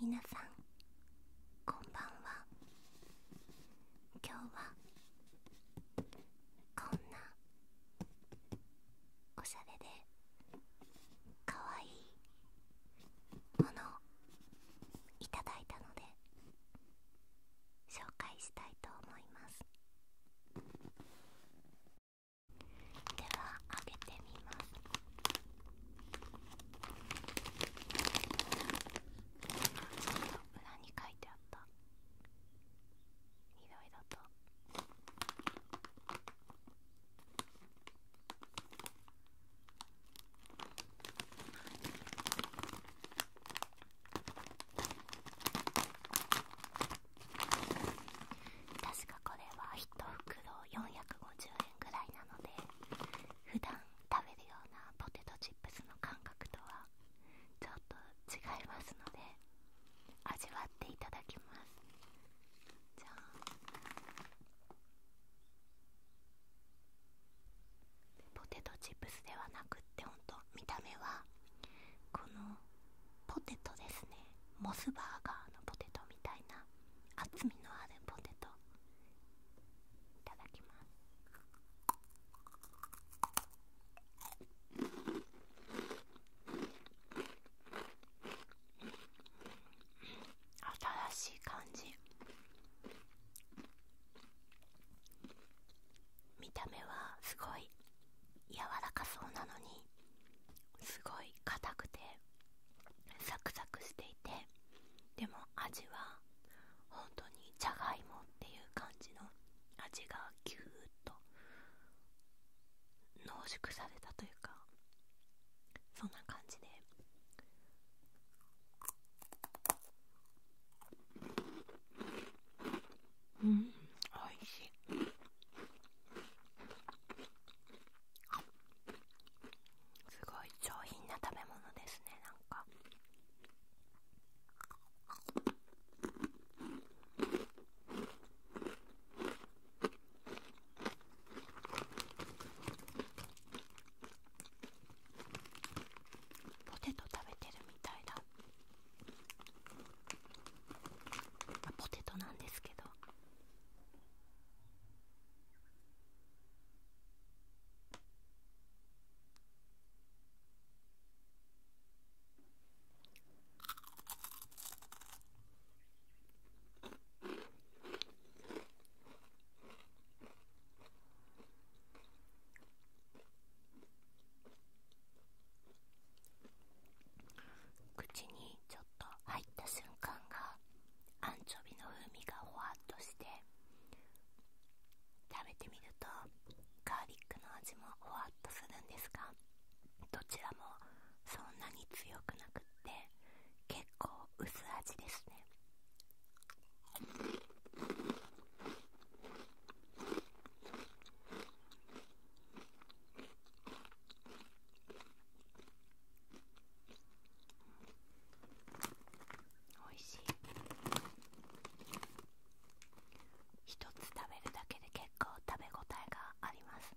皆さんこんばんは今日はこんなおしゃれでかわいいものをいただいたので紹介したいと思いますではあげてみますちょっと裏に書いてあったいろいろとこ確かこれは1袋450円ぐらいなので普段食べるようなポテトチップスの感覚とはちょっと違いますので味わっていただきますじゃあ。ポテトチップスではなくってほんと見た目はこのポテトですねモスバーガーのポテトみたいな厚みのあるポテトいただきます新しい感じ見た目はすごい柔らかそうなのにすごい硬くてサクサクしていてでも味は本当にじゃがいもっていう感じの味がギューッと濃縮されたというかそんな感じでうんおいしいすごい上品な食べ物ですねなんかポテト食べてるみたいだポテトなんですけど口にちょっと入った瞬間がアンチョビの風味がほわっとして食べてみるとガーリックの味もほわっとするんですがどちらもそんなに強くなくって結構薄味ですねおいしい一つ食べるだけで結構食べ応えがあります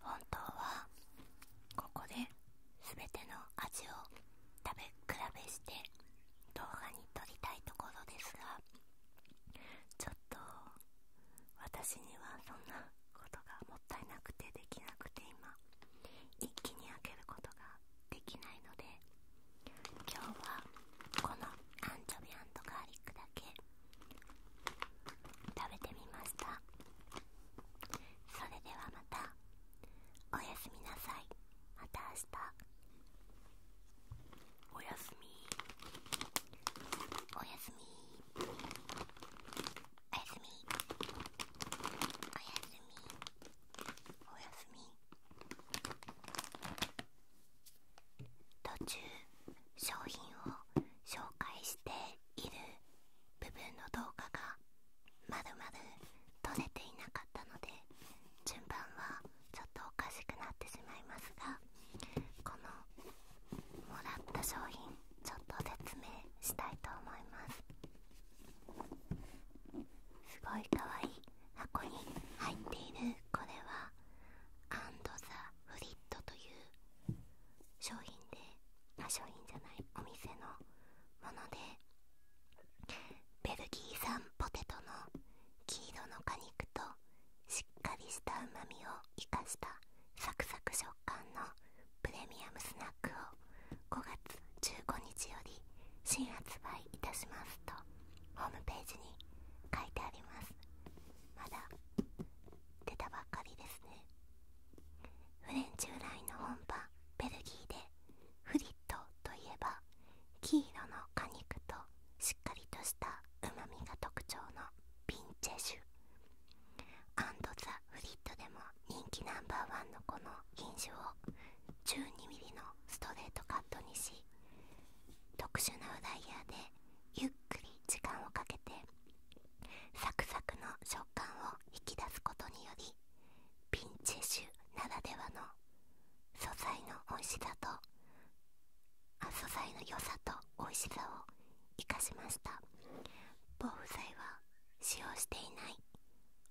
本当はここで全ての味を食べ比べして動画に撮りたいところですがちょっと私にはそんなことがもったいなくてできなくて今一気に開けることができないので今日はこのアンチョビガーリックだけ食べてみましたそれではまたおやすみなさいまた明日おやすみおやすみおやすみおやすみおやすみ途中商品を紹介している部分の動画がまるまる撮れていなかったので順番はちょっとおかしくなってしまいますがこのもらった商品ちょっと説明したいと思いますすごいかわいい箱に入っているこれはアンドザ・フリットという商品であ商品じゃないお店のものでベルギー産ポテトの黄色の果肉としっかりしたうまみを生かしたサクサク食感のプレミアムスナックを5月15日より新発売いたしますとホームページに書いてありますまだ出たばっかりですねフレンチ由来の本場ベルギーでフリットといえば黄色の果肉としっかりとしたうまみが特徴のピンチェシュアンドザ・フリッドでも人気ナンバーワンのこの品種を 12mm のストレートカットにし特殊なフライヤーでゆっくり時間をかけてサクサクの食感を引き出すことによりピンチッシュならではの素材の美味しさと素材の良さと美味しさを生かしました防腐剤は使用していない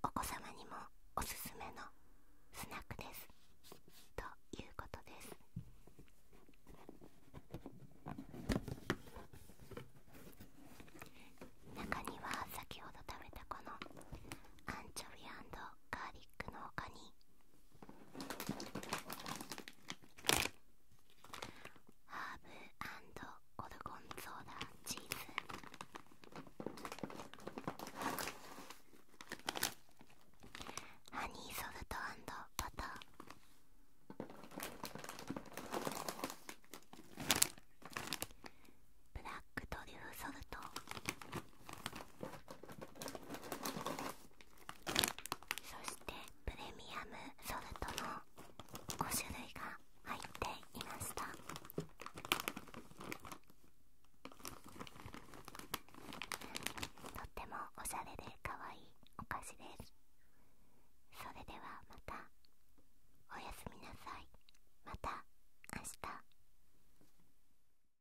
お子様にもおすすめのスナックですということです中には先ほど食べたこのアンチョビガーリックの他にハーブオルゴンソーダチーズハニーソルトバターブラックトリュフソルトそしてプレミアムソルトの5種類が入っていましたとってもおしゃれでかわいいお菓子ですそれではまたおやすみなさいまた明日